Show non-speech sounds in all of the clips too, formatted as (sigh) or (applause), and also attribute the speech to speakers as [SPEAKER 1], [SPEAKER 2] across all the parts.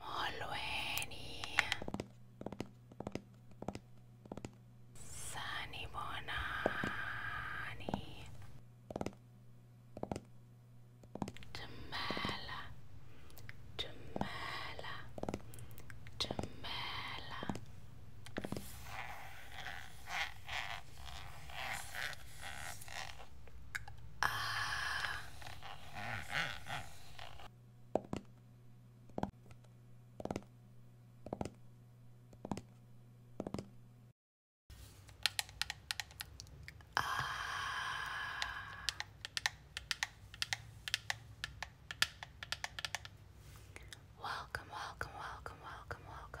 [SPEAKER 1] Molweni. Sani Jamela. Jamela. Jamela. Ah. uh, welcome, welcome, welcome, welcome, welcome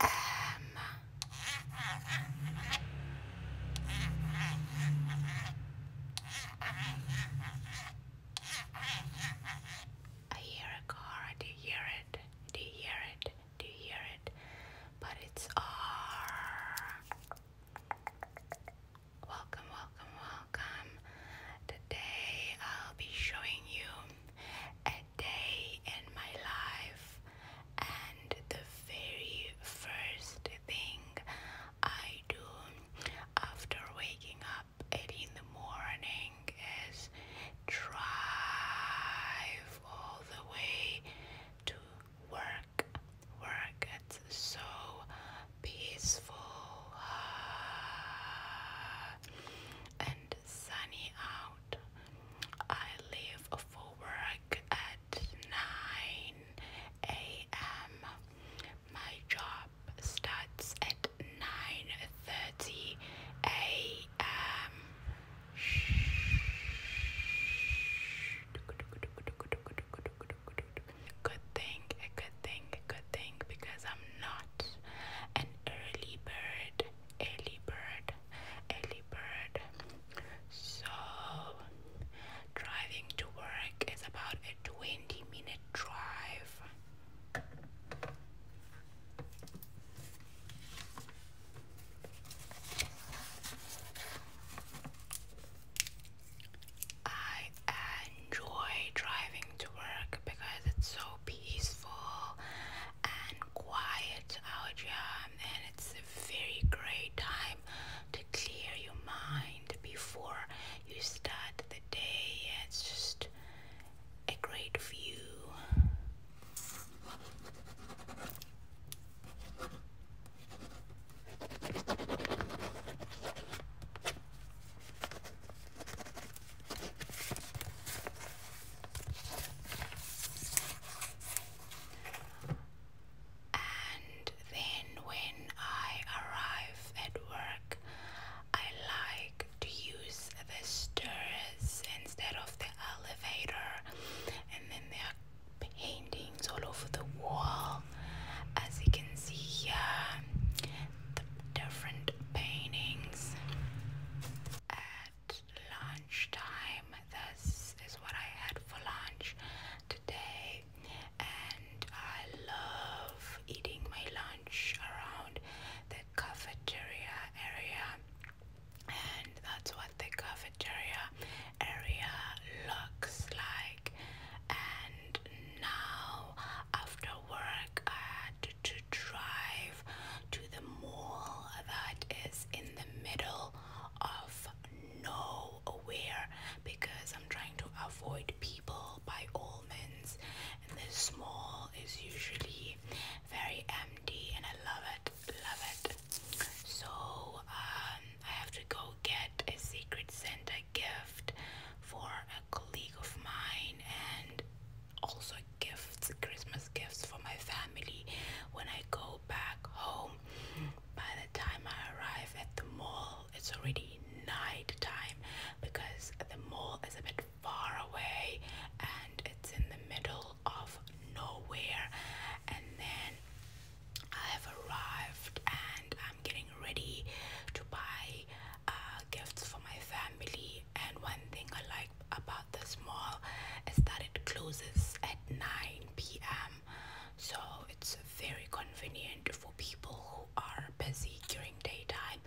[SPEAKER 1] I hear a car. Do you hear it? Do you hear it? Do you hear it? But it's R. Welcome, welcome, welcome. Today I'll be showing you a day in my life and the very first thing I do after waking up early in the morning is drive all the way to work. Work, it's so peaceful ah. and sunny out. I leave for work at 9 a.m. My job starts at 9:30 a.m. Good thing, a good thing, a good thing because I'm not an early bird, early bird, early bird. So, driving to work is about a 20 minute drive. I enjoy driving to work because it's so peaceful and quiet out here and it's a very great time to clear your mind before you start the day. It's just a great view. And then when I arrive at work, I like to use the stairs instead of the elevator. And then there are paintings all over the wall. As you can see here, the different paintings. Lunch time. This is what I had for lunch today, and I love eating my lunch around the cafeteria area, and that's what the cafeteria area looks like. And now, after work, I had to drive to the mall that is in the middle of nowhere because I'm trying to avoid people by all means. And this mall is usually very empty, and I love it, love it. So um, I have to go get a Secret Santa gift for a colleague of mine, and also gifts, Christmas gifts for my family when I go back home. By the time I arrive at the mall, it's already night time because the mall is a bit far away and it's in the middle of nowhere. And then I have arrived and I'm getting ready to buy uh, gifts for my family. And one thing I like about this mall is that it closes at 9 p.m. So it's very convenient for people who are busy during daytime,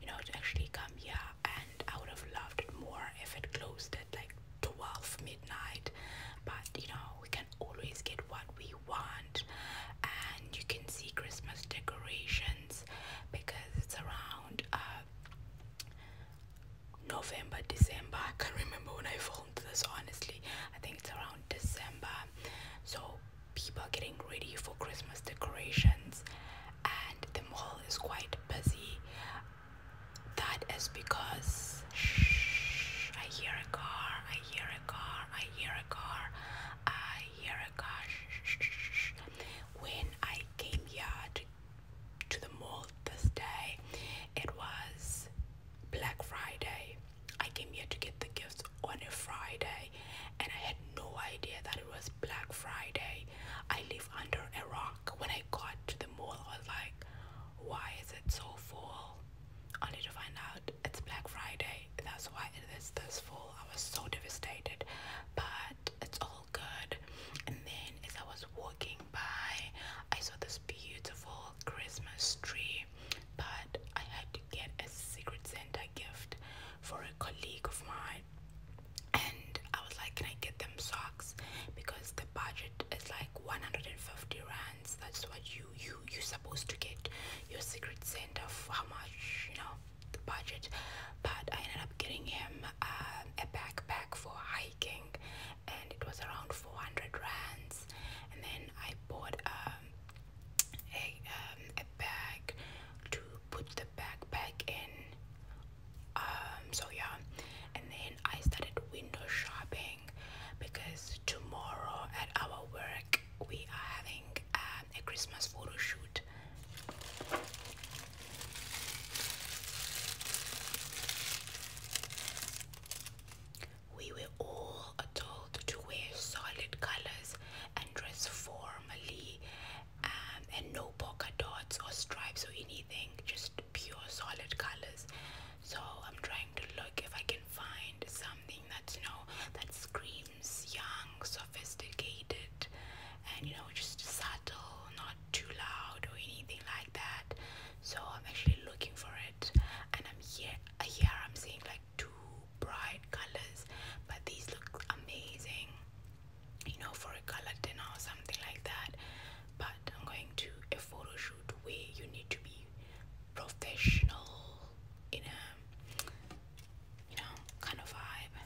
[SPEAKER 1] you know, to actually come here. And I would have loved it more if it closed at like 12 midnight, but you know, we can always get what we want. And you can see Christmas decorations because it's around uh, November, December. I can't remember when I filmed this, honestly. I think it's around December. So people are getting ready for Christmas decorations, and the mall is quite busy. That is because shh, I hear a car, I hear a car, I hear a car, I hear a car. Shh, shh, shh. When I came here to to the mall this day. It was Black Friday. I came here to get the gifts on a Friday and I had no idea that it was Black Friday. I live under a rock. When I got to the mall, I was like, why is it so full? I need to find out it's Black Friday. That's why it is this full. I was so devastated. But it's all good. And then as I was walking by, I saw this beautiful Christmas tree, but I had to get a Secret Santa gift for a colleague of mine. And I was like, Can I get them socks? Because the budget is like 150 rands. That's what you you you supposed to get your Secret Santa for how much, you know, the budget. But I ended up getting him a backpack for hiking and it was around 400 rands and then I bought um, a, um, a bag to put the backpack in um, so yeah and then I started window shopping because tomorrow at our work we are having um, a Christmas photo shoot we were all told to wear solid colors and dress formally um, and no polka dots or stripes or anything, just pure solid colors. So I'm trying to look if I can find something that's you know that screams young, sophisticated, and you know just subtle, not too loud or anything like that. So I'm actually looking for it, and I'm here. Uh, here I'm seeing like two bright colors, but these look amazing. You know, for a color dinner or something like that. But I'm going to a photoshoot shoot where you need to be professional in a you know kind of vibe.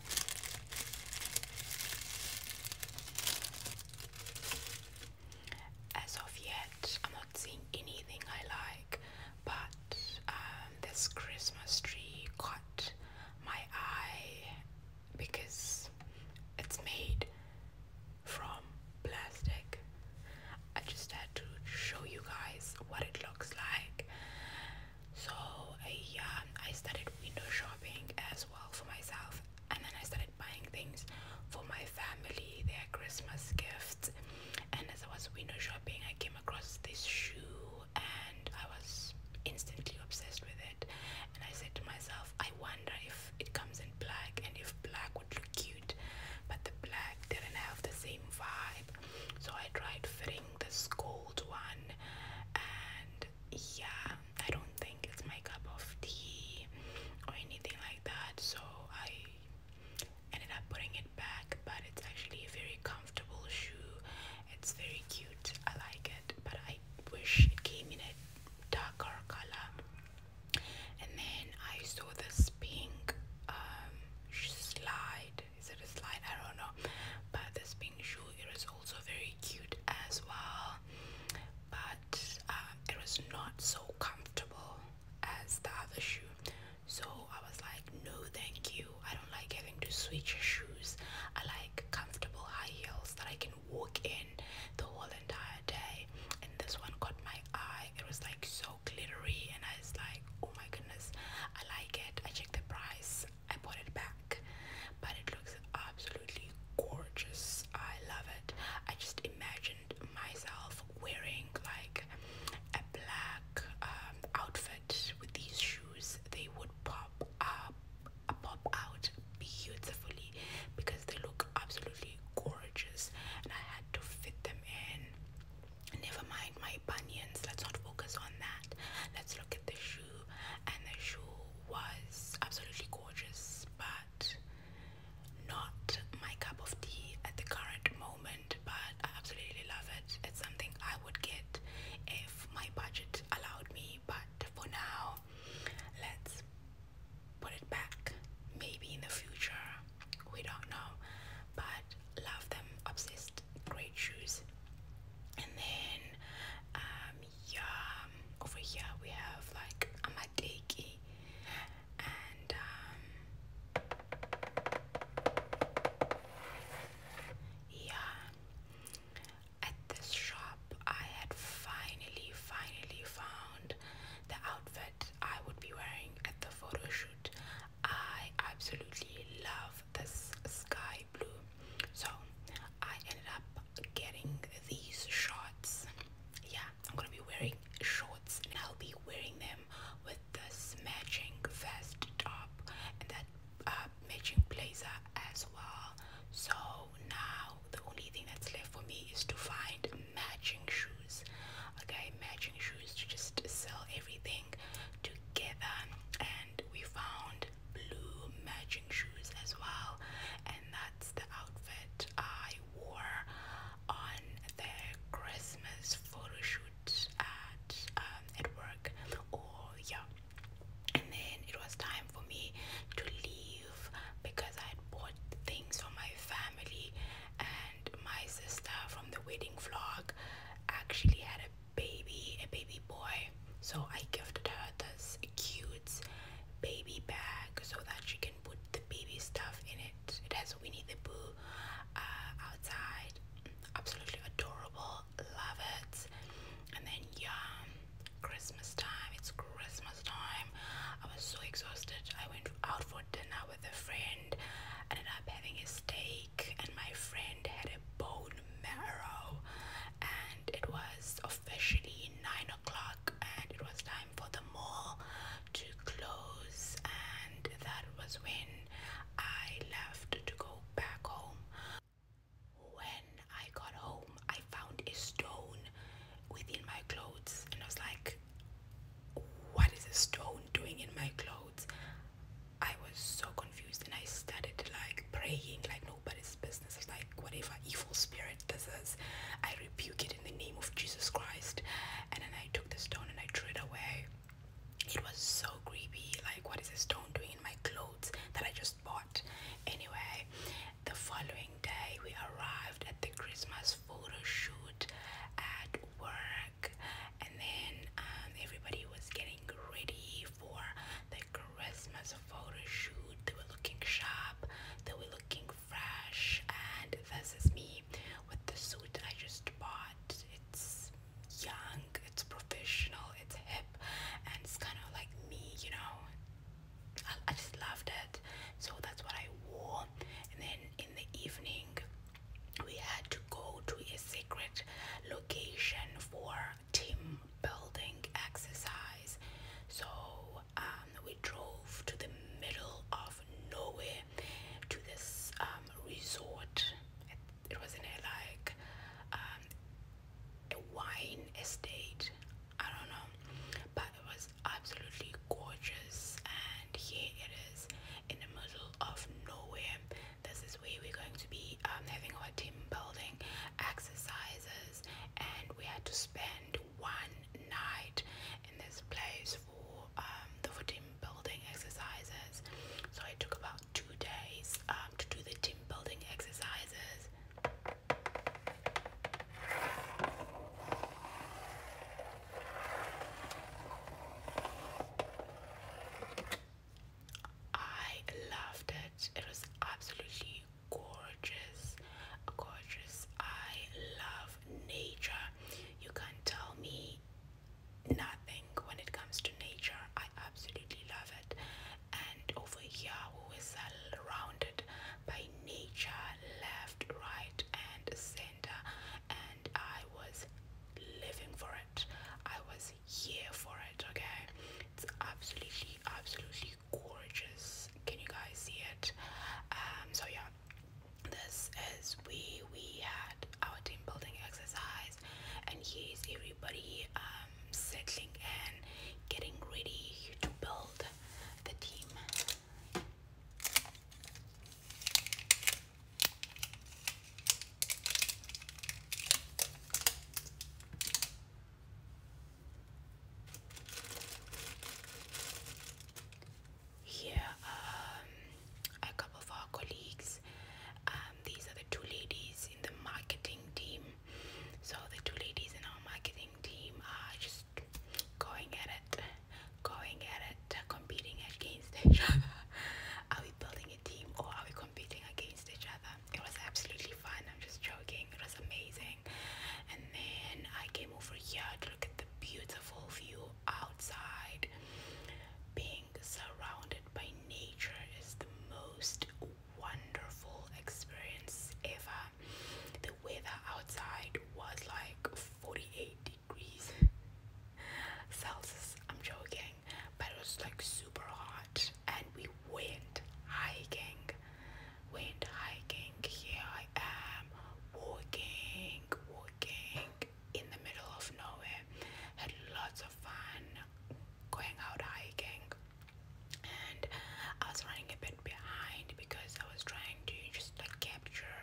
[SPEAKER 1] As of yet, I'm not seeing anything I like, but um, this Christmas tree caught my eye because it's made from plastic. I just had to show you guys what it looks like. So uh, yeah, I started window shopping as well for myself, and then I started buying things for my family, their Christmas gifts. And as I was window shopping, I came across this shoe, and I was instantly obsessed with it. And I said to myself, I wonder if it comes in black, and if black would look cute. But the black didn't have the same vibe, so I tried fitting this gold one, and yeah, I don't think it's my cup of tea or anything like that. So I ended up putting it back, but it's actually a very comfortable shoe. It's very cute. I like it, but I wish it came in a darker color. And then I saw this pink um, slide. Is it a slide? I don't know. But this pink shoe it was also very cute as well, but uh, it was not so comfortable as the other shoe. So I was like, no, thank you. I don't like having to switch shoes. I like comfortable high heels that I can walk in the whole entire day. And this one caught my eye. It was like so glittery, and I was like, oh my goodness, I like it. I checked the price. I bought it back, but it looks absolutely gorgeous. I love it. I just imagined myself wearing like a black um, outfit with these shoes. They would pop up, uh, pop out beautifully because they look absolutely gorgeous, and I had to fit them in. Never mind my bunions. Let's not focus on that. Let's look at the shoes and the shoe was absolutely gorgeous, but not my cup of tea at the current moment. But I absolutely love it. It's something I would get if my budget allowed me, but for now, let's put it back. Maybe in the future, we don't know, but love them, obsessed, great shoes and then um yeah over here we have like amateki and um yeah at this shop I had finally finally found the outfit I would be wearing at the photo shoot. I absolutely love this sky blue so I ended up getting these shorts. Yeah, I'm gonna be wearing shorts and I'll be wearing them with this matching vest top and that uh, matching blazer as well. So now the only thing that's left for me is to find matching shoes. Okay, matching shoes to just sell everything together and and we found blue matching shoes as well and that's the outfit I wore on the Christmas photo shoot at um, at work or oh, yeah and then it was time for me to leave because I had bought things for my family and my sister from the wedding vlog actually had a baby, a baby boy. So I gifted her this cute baby bag so that she can put the baby stuff in it. It has Winnie the Pooh uh, outside. Absolutely adorable. Love it. And then, yeah, Christmas time. It's Christmas time. I was so exhausted. I went out for dinner with a friend. Ended up having a steak and my friend had a bone marrow and it was officially nine o'clock and it was time for the mall to close and that was when I left to go back home. When I got home I found a stone within my clothes and I was like what is a stone doing in my clothes? I was so confused and I started like praying like nobody's business. Like whatever evil spirit this is, I rebuke it in the name of Jesus Christ. And then I took the stone and I threw it away. It was so creepy. Like what is a stone doing in my clothes that I just bought? Anyway, the following day we arrived at the Christmas photo shoot at work and then um, everybody was getting ready for the Christmas photo shoot. They were looking sharp, they were looking fresh, and this is me with the suit I just bought. It's young, it's professional, it's hip, and it's kind of like me, you know. I just loved it, so that's what I wore. And then in the evening, we had to go to a secret location for team building exercise. So um, we drove to the middle of nowhere to this um, resort. It, was in a like um, a wine estate. I don't know, but it was absolutely gorgeous. And here it is in the middle of nowhere. This is where we're going to be um, having our team building exercises, and we had to spend one night in this place for um, the for team building exercises. So it took about two days um, to do the team building exercises. I loved it. It was absolutely gorgeous. Gorgeous. I love nature. You can't tell me nothing when it comes to nature. I absolutely love it. And over here, we were surrounded by nature, left, right, and center. And I was living for it. I was is here for it, okay? It's absolutely, absolutely gorgeous. Can you guys see it? Um, so yeah, this is we we had our team building exercise, and here's everybody um settling and getting ready to build the team. Here are um, a couple of our colleagues. Um, these are the two ladies in the marketing team. So, the two ladies in our marketing team are just going at it, going at it, competing against each other. (laughs) Are we building? team or are we competing against each other? It was absolutely fun. I'm just joking. It was amazing. And then I came over here to look at the beautiful view outside. Being surrounded by nature is the most wonderful experience ever. The weather outside was like 48 degrees Celsius. I'm joking but it was like super hot, and we went hiking. Went hiking. Here I am, walking, walking in the middle of nowhere. Had lots of fun going out hiking, and I was running a bit behind because I was trying to just like capture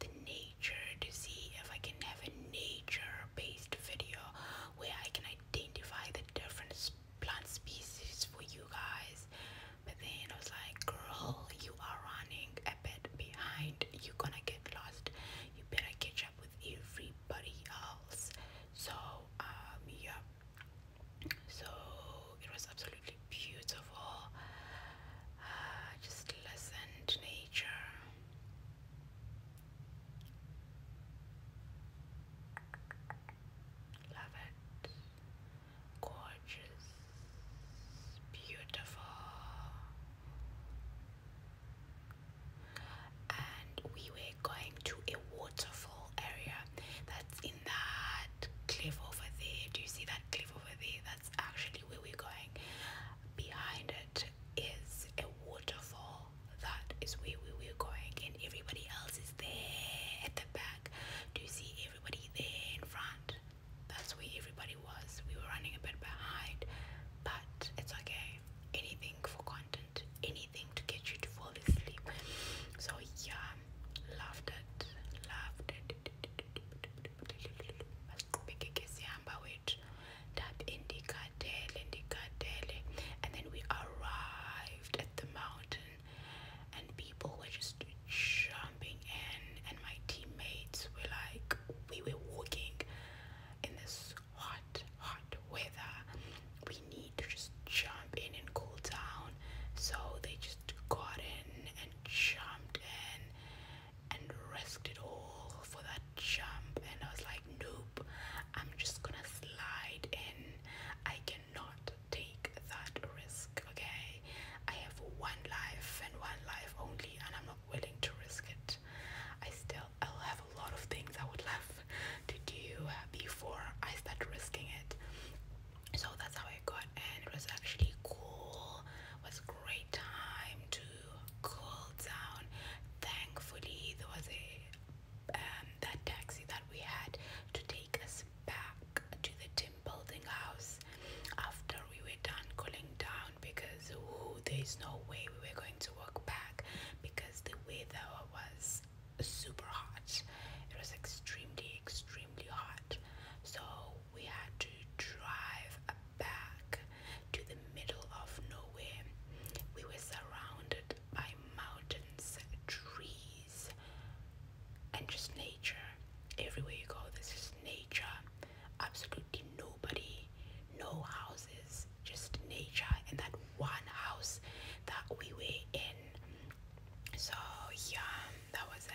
[SPEAKER 1] the nature to see if I can have a nature based video where I can identify the different plant species for you guys. But then I was like, girl, you are running a bit behind. You're gonna get lost. You better catch up with everybody else. So, um, yeah. So it was absolutely beautiful. Uh, (sighs) just listen to nature. Love it. Gorgeous. Beautiful. And we were going to a waterfall area that's in that cliff over there. Do you see that cliff over there? That's actually where we're going behind it is a waterfall. That is where we were going, and everybody else is there at the back. Do you see everybody there in front? That's where everybody was. We were running a bit behind, but it's okay. Anything for content, anything to get you to fall asleep. So, yeah, loved it, loved it bigike sihamba wethu ndaphi indigadele ndigadele and then we arrived at the mountain and people were just jumping in and my teammates were like we were walking in this hot hot weather we need to just jump in and cool down so they just got in and jumped in and risked it all for that jump. And I was like, nope, I'm just gonna slide in. I cannot take that risk, okay? I have one life and one life only, and I'm not willing to risk it. I still, I'll have a lot of things I would love to do before I start risking it. So that's how I got, and it was actually cool. It was a great time to cool down. Thankfully, there was a um, that taxi that we had to take us back to the team building house after we were done cooling down because there's no way we were going to walk back because the weather was super hot. It was extremely, extremely hot. So we had to drive back to the middle of nowhere. We were surrounded by mountains, trees, and just nature. Everywhere you go, there's just nature. Absolutely nobody, no houses, just nature. And that one house that we were in. So, yeah, that was it.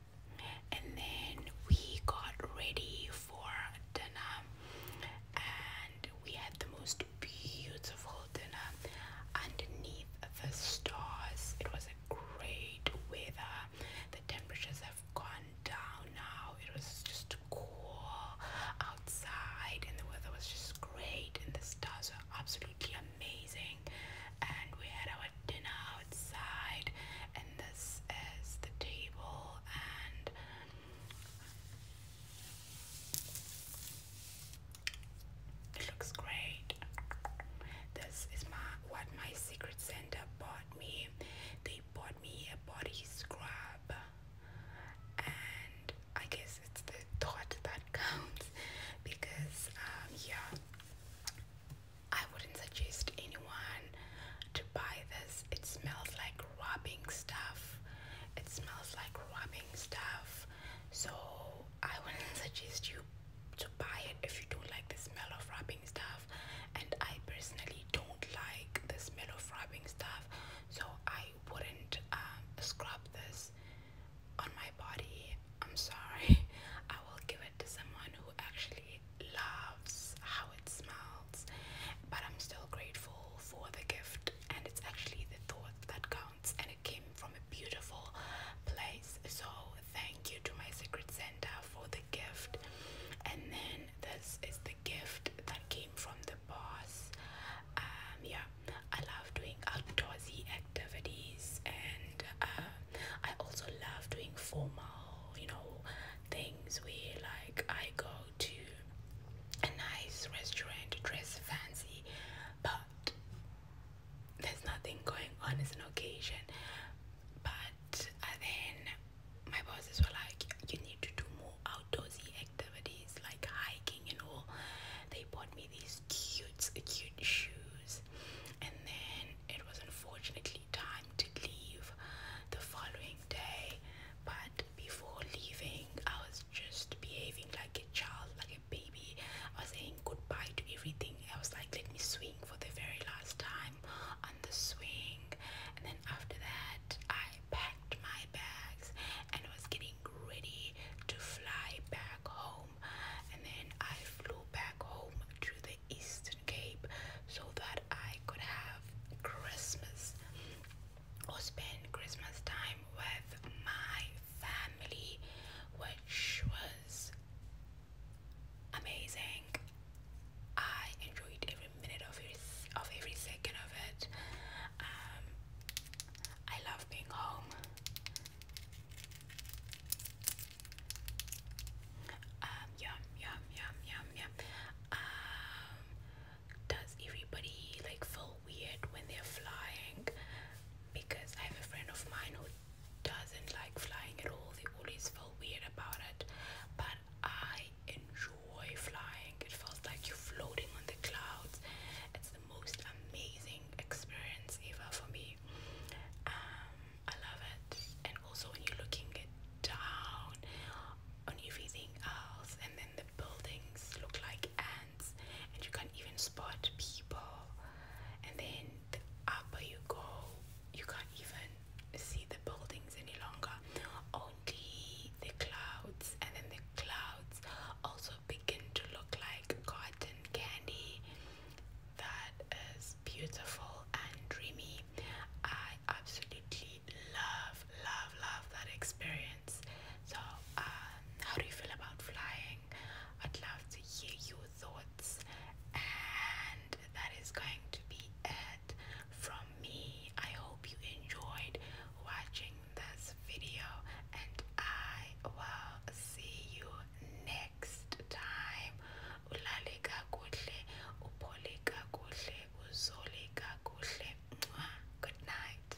[SPEAKER 1] and then we got ready for dinner and we had the most beautiful dinner underneath the stars. It was a great weather. The temperatures have gone down now. It was just cool outside and the weather was just great and the stars were absolutely amazing and we had our dinner outside, and this is the table, and it looks great. This is my what my secret center bought me. They bought me a body scrub, and I guess it's the thought that (laughs) counts because, um, yeah, I wouldn't suggest anyone to buy this. It smells like rubbing stuff. It smells like rubbing stuff. So I wouldn't (laughs) suggest you to buy it if you don't like the smell of rubbing stuff. And I personally don't like the smell of rubbing stuff. So I wouldn't um, scrub this on my body. I'm sorry. (laughs) I will give to someone who actually loves how it smells. But I'm still grateful for the gift, and it's actually the thought that counts, and it came from a beautiful place. So, thank you to my Secret Santa for the gift. And then, this is the gift that came from the boss. Um, yeah, I love doing outdoorsy activities, and uh, I also love doing formal you know things we like I go to a nice restaurant dress fancy but there's nothing going on as an occasion but uh, then my bosses were like you need to do more outdoorsy activities like hiking and all they bought me these cute cute shoes and then it was unfortunately time to leave the following day, but before leaving, I was just behaving like a child, like a baby. I was saying goodbye to everything. I was like, let me swing for the very last time on the swing, and then after that, I packed my bags and was getting ready to fly back home. And then I flew back home to the Eastern Cape so that I could have Christmas or spend Christmas time with my family, which was amazing. I enjoyed every minute of it, of every second of it. Um, I love being home yum, yum, yum, yum, yum. does everybody like feel weird when they're flying? Because I have a friend of mine who doesn't like flying at all. They always feel weird about it. But I enjoy flying. It feels like you're floating on the clouds. It's the most amazing experience ever for me. I love it. And also when you looking it down on everything else, and then the buildings look like ants, and you can't even spot people. And then the upper you go, you can't even see the buildings any longer. Only the clouds, and then the clouds also begin to look like cotton candy. That is beautiful and dreamy. I absolutely love, love, love that experience. So, um, how do you feel about flying? I'd love to hear your thoughts, and that is going to be it from me. I hope you enjoyed watching this video, and I will see you next time ulale kakuhle uphole kakuhle uzole kakuhle good night